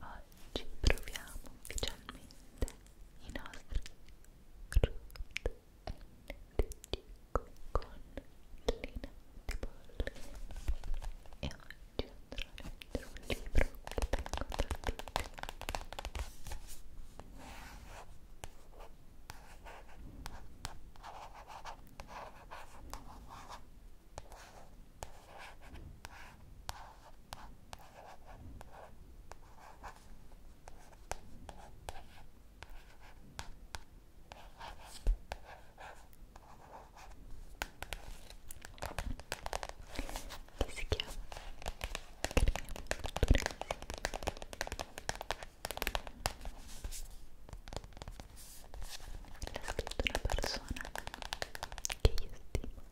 Oggi proviamo ufficialmente i nostri Root NDG con linea di bolle e oggi andrò a leggere un libro che tengo da tutti che si chiama l'ha scritto una persona che io stimo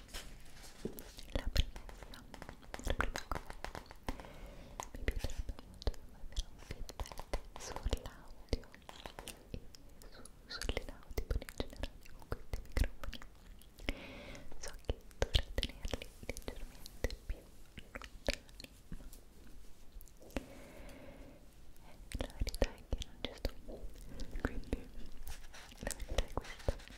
la premessa la prima cosa mi piacerebbe molto avere un feedback sull'audio e su, sulle laudi in generale con questi microfoni so che dovrei tenerli leggermente più lontani ma eh, la verità è che non ci sto quindi la verità è questa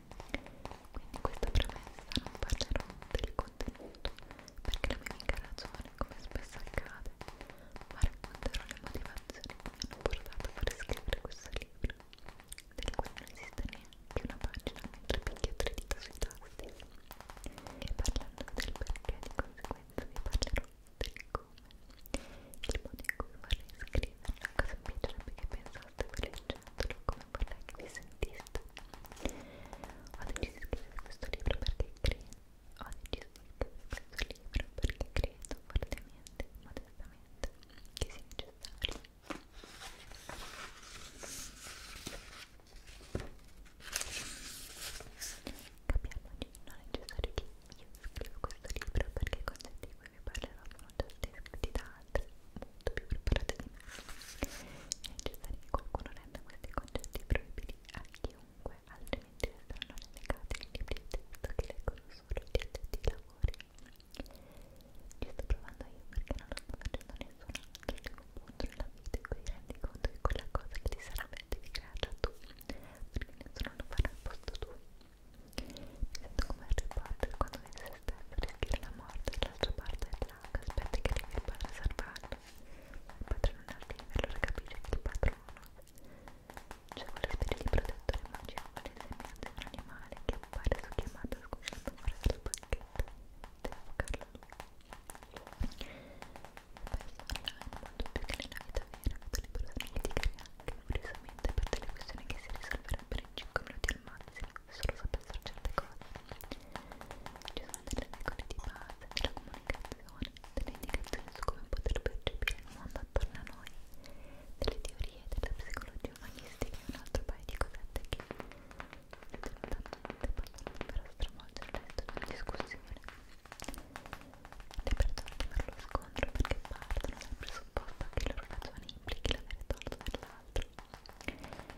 Quindi questa premessa non parlerò del contenuto perché la mia mica ragione, come spesso accade, ma racconterò le motivazioni che mi hanno portato a far scrivere questo libro, del cui non esiste neanche una pagina mentre picchio tre dita sui tasti. E parlando del perché di conseguenza vi parlerò del come, il modo in cui vorrei scriverla, cosa mi piacerebbe che pensavo stato brillantiato come vorrei che vi sentiste ho deciso di scrivere questo libro perché credo ho deciso di scrivere questo libro perché credo fortemente, modestamente che sia necessario capiamoci, non è necessario che io scrivo questo libro perché i concetti di cui vi parlerò sono già stati scritti da altre molto più preparate di me. È necessario che qualcuno renda questi concetti proibiti a chiunque, altrimenti resteranno relegati in libri di testo che leggono solo gli addetti ai lavori. Ci sto provando io perché non lo sto facendo nessuno altro che un punto nella vita in cui ti rendi conto che quella cosa che ti serve devi crearla tu, perché nessuno lo farà al posto tuo. Mi sento come Harry Potter quando vede se stesso rischiare la morte dall'altra parte della Bianca, aspetti che arrivi il padre a salvarlo. Il padre non arriva, allora capisce che il padrone c'è quello spirito protettore magico seminante un animale che appare su chiamata scusando fuori dal pacchetto. Devo buscarlo lui. Spesso online, molto più che nella vita vera, vedo le persone litigare anche, curiosamente, per delle questioni che si risolverebbero in 5 minuti al massimo solo so pensare a certe cose ci sono delle regole di base della comunicazione delle indicazioni su come poter percepire il mondo attorno a noi delle teorie della psicologia umanistica e un altro paio di cosette che determinatamente possono davvero stravolgere il resto di una discussione le persone fanno lo scontro perché partono dal presupposto che il loro ragione implichi l'avere torto dell'altro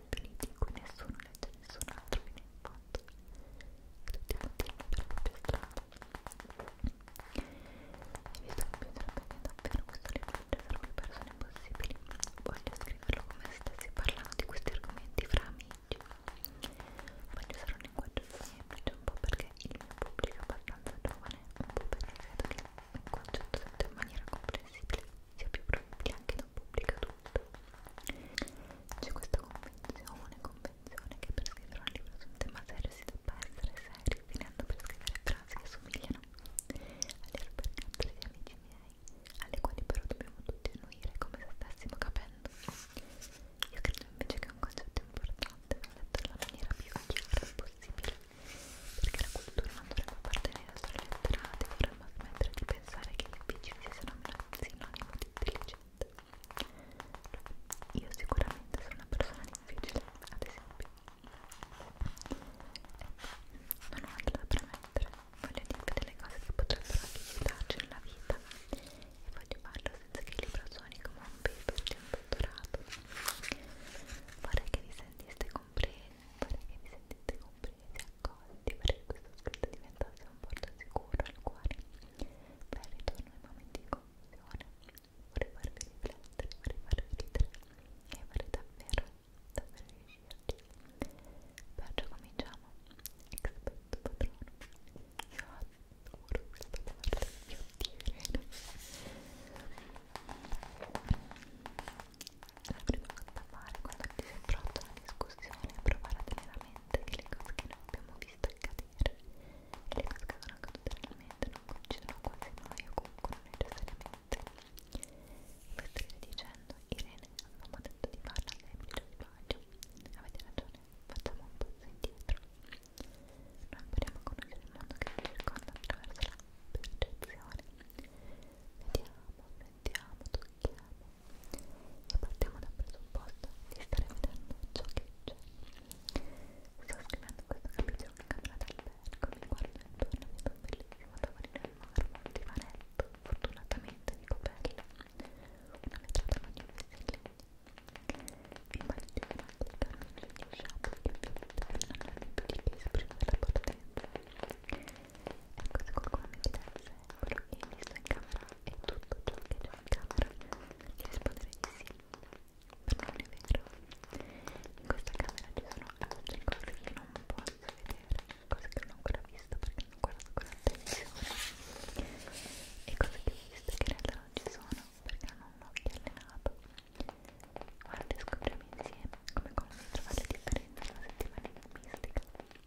contenuti in cui nessuno legge nessun altro fino in fondo tutti continuano per la propria strada e visto che mi sarebbe davvero questo libro sarebbe persone possibili voglio scriverlo come se stessi parlando di questi argomenti fra amici voglio usare un linguaggio semplice un po' perché il mio pubblico è abbastanza giovane un po' perché credo che un concetto detto in maniera comprensibile sia più probabile anche da un pubblico adulto c'è questa convenzione, convenzione che per scrivere un libro su un tema serio si debba essere seri, finendo per scrivere frasi che somigliano alle supercanzoni di amici miei, alle quali però dobbiamo tutti annuire come se stessimo capendo. Io credo invece che un concetto importante va letto alla maniera più chiara possibile, perché la cultura non dovrebbe appartenere solo ai letterati, ma smettere di pensare che gli imbecilli siano sinonimo di intelligente. Io sicuramente sono una persona difficile, ad esempio. Ecco, non ho altro da premettere, voglio dirvi delle cose che potrebbero aiutarci nella vita e voglio farlo senza che il libro suoni come un paper di un dottorato. Vorrei che vi sentiste compresi, vorrei che vi sentiste compresi e accolti perché questo scritto diventasse un porto sicuro al cuore per il ritorno ai momenti di confusione vorrei farvi riflettere, vorrei farvi ridere e vorrei davvero, davvero riuscirci perciò cominciamo expecto patrono io adoro questa parte, io ti credo la prima cosa da fare quando ti si pronta una discussione è provare a tenere a mente che le cose che noi abbiamo visto accadere e le cose che sono accadute nella mente non coincidono quasi noi o comunque non necessariamente voi state dicendo Irene avevamo detto di farla lei mi dice sbaglio avete ragione facciamo un passo indietro noi impariamo a conoscere il mondo che ci circonda attraverso la percezione vediamo, sentiamo, tocchiamo e partiamo dal presupposto di stare vedendo ciò che c'è. Sto scrivendo questo capitolo in camera d'albergo, mi guardo intorno, vedo un bellissimo tavolino in marmo, un divanetto, fortunatamente di copella, una vetrata non in legno. Immagino che non si stanno giù di sciabole che più non hanno più di che esprimere la partenza. Ecco, se qualcuno mi chiedesse quello che hai visto in camera e tutto ciò che c'è in camera, ti risponderei di sì, però non è vero. In questa camera ci sono altre cose che non posso vedere, cose che non ho ancora visto perché non guardo con attenzione, e cose che ho visto che in realtà non ci sono perché non ho occhi allenato. Guarda, scopriamo insieme come come trovare la differenza nella settimana enigmistica.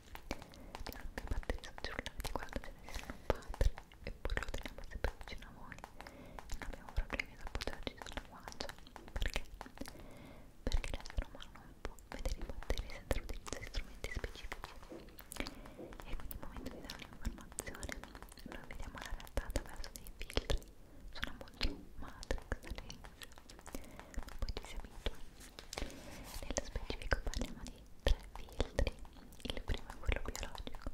le batterie sul cellulare di guarda ce ne sono un padre eppure lo teniamo sempre vicino a voi non abbiamo problemi ad appoggiarci sulla guancia perché? perché l'essere umano non può vedere i batteri senza l'utilizzo di strumenti specifici e quindi al momento di dare un'informazione noi vediamo la realtà attraverso dei filtri sono molto matrix ma poi ci si abitua nello specifico parliamo di tre filtri il primo è quello biologico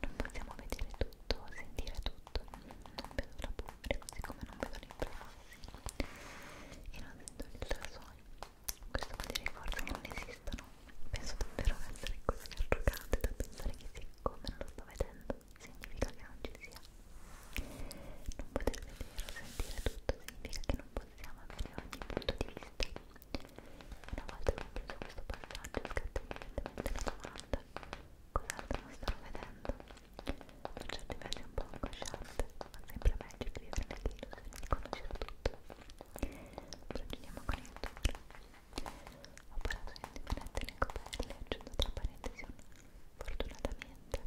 non possiamo vedere tutto, sentire tutto non vedo la polvere così come non vedo le influenze e non sento gli ultrasuoni questo vuol dire forse che non esistono penso davvero essere così arrogante da pensare che siccome non lo sto vedendo significa che non ci sia non poter vedere o sentire tutto significa che non possiamo avere ogni punto di vista Una volta compreso questo passaggio scatta immediatamente la domanda cos'altro non stavo vedendo? Sono certi versi un po' angosciante, ma sempre meglio che vivere nell'illusione di conoscere tutto. Proseguiamo con il tour. Ho parlato di indipendente le copelle, aggiungo tra parentesi un fortunatamente.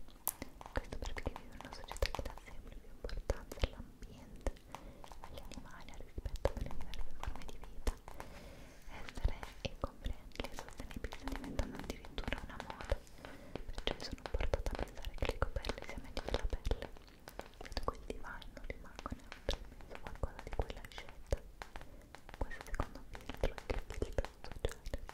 Questo perché vivo in una società che dà sempre più importanza all'ambiente agli animali, al rispetto delle diverse forme di vita. Essere incomprenderli e sostenibili sta diventando addirittura una moda, perciò mi sono portata a pensare che le coperte sia meglio della pelle. Vedo quel divano, rimango neutro, penso qualcosa di quella scelta. Questo secondo filtro è il filtro sociale.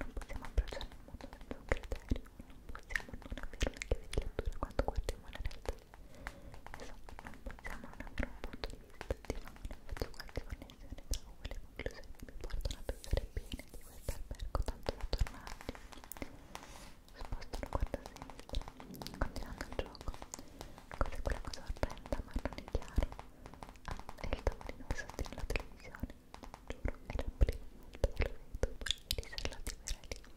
Non possiamo approcciare il mondo senza un criterio non possiamo non avere una chiave di lettura quando guardiamo la realtà insomma, non possiamo non avere un punto di vista ottimale faccio qualche connessione tra voi le conclusioni che mi portano a pensare bene di questo albergo tanto da tornarci sposto lo guardo a sinistra continuando il gioco cos'è quella cosa orrenda marrone chiaro ah, è il tavolino che sostiene la televisione giuro, era prima volta che lo vedo poi ieri sera la timerelli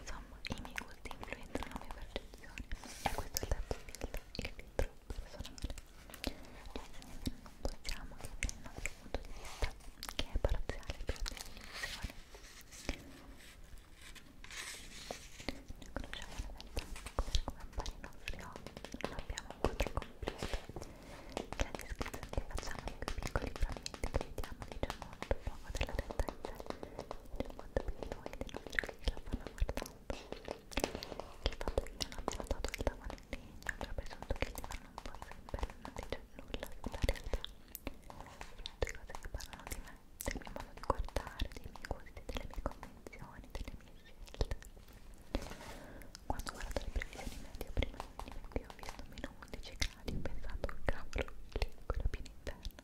Insomma, i miei gusti influenzano la mia percezione e questo è il terzo filtro, il filtro personale. Quindi non possiamo che dal nostro punto di vista, che è parziale per definizione. Noi conosciamo la verità come appare i nostri occhi, non abbiamo un quadro completo la descrizione che facciamo di quei piccoli frammenti che vediamo dice molto poco della realtà in sé del mondo di noi, dei nostri che la fanno guardando che il fatto che non abbiano dato il tavolo in legno ho presunto che gli fanno un po' sempre non dice nulla sulla realtà tutte cose che parlano di me del mio modo di guardare, dei miei gusti, delle mie convinzioni, delle mie scelte quando ho guardato le previsioni media prima di venire qui ho visto meno 11 gradi giornali pensando al cavolo lì con la piena interna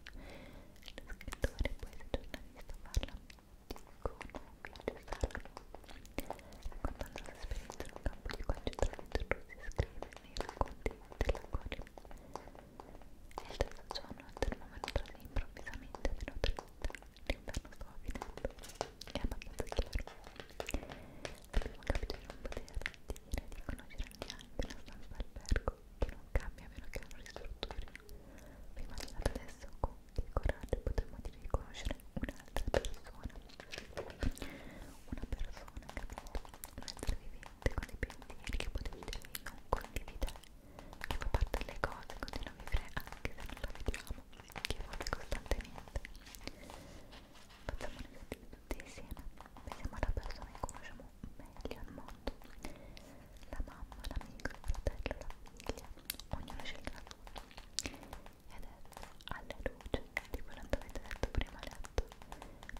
lo scrittore e poeta giornalista parla di Flavio Sacro raccontando la sua esperienza in un campo di concentramento russo scrive nei racconti della cuore e il terzo giorno il termometro si improvvisamente meno 30 l'inferno stava finendo è abbastanza chiaro abbiamo capito di non poter finire di conoscere ambiente la stanza albergo che non cambia a meno che non ristrutturino. Prima di andare adesso con il coraggio potremmo dire di conoscere un'altra persona. Una persona, capito? Un essere vivente con dei pensieri che potenzialmente non condividere, che fa parte delle cose, continua a vivere anche se non la vediamo, che evolve costantemente. Facciamo un esempio tutti insieme pensiamo alla persona che conosciamo meglio al mondo la mamma, l'amico, il fratello, la famiglia ognuno sceglie una foto ed adesso alla luce di quanto avete detto prima a letto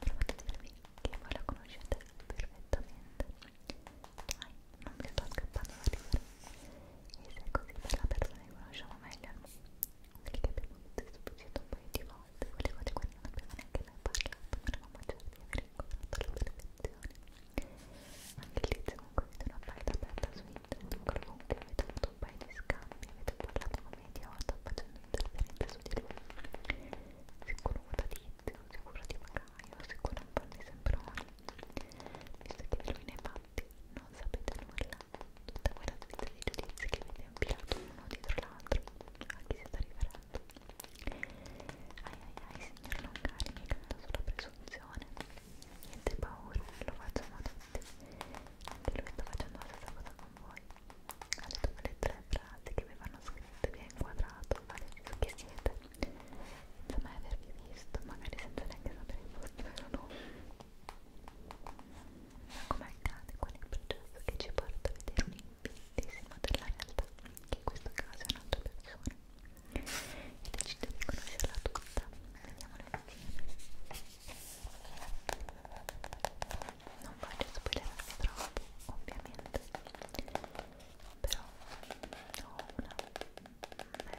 provate a dirvi che voi la conoscete perfettamente dai, non mi sto scappando da ridere e se è così per la persona che conosciamo meglio al mondo perché abbiamo discusso un paio di volte quelle cose quali non abbiamo neanche mai parlato ma eravamo certi di aver incontrato la perfezione anche lì c'è un così una parte aperta su internet comunque avete avuto un paio di scambi avete parlato come idiota facendo interferenze su di lui sicuro odalizio, sicuro di pagaio, sicuro un po' di sembroni visto che lui ne ha fatti non sapete nulla tutta quella suite di giudizi che viene ampilato uno dietro l'altro a chi siete arrivati ai ai ai signor Longari mi canta sulla presunzione niente paura, lo facciamo tutti anche lui sta facendo la stessa cosa con voi ha detto quelle tre frasi che avevano scritto vi ha inquadrato, ha deciso chi siete senza mai avervi visto magari senza neanche sapere il vostro vero nome ma come accade, qual è il processo che ci porta a vedere un impintissimo della realtà, che in questo caso è un'altra persona, e decide di conoscerla tutta? Vediamola insieme. Non voglio spoilerarvi troppo, ovviamente, però ho una mezza idea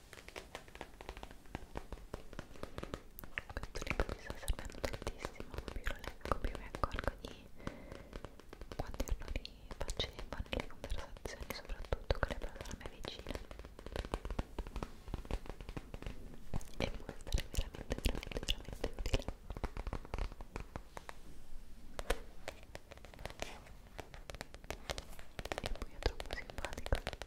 questo libro mi sta servendo tantissimo più lo leggo più mi accorgo di quanti errori facevo nelle conversazioni soprattutto con le persone vicine e può essere veramente veramente veramente utile e poi è troppo simpatico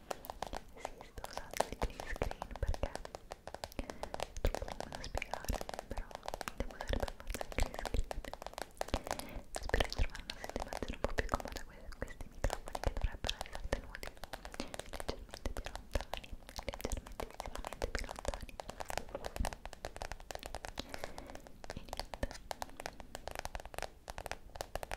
Sì, sto usando il green screen perché è troppo lungo da spiegare, però devo usare per forza il green screen. Spero di trovare una sistemazione un po' più comoda con questi microfoni che dovrebbero essere tenuti leggermente più lontani, leggermente visivamente più lontani. E niente. Spero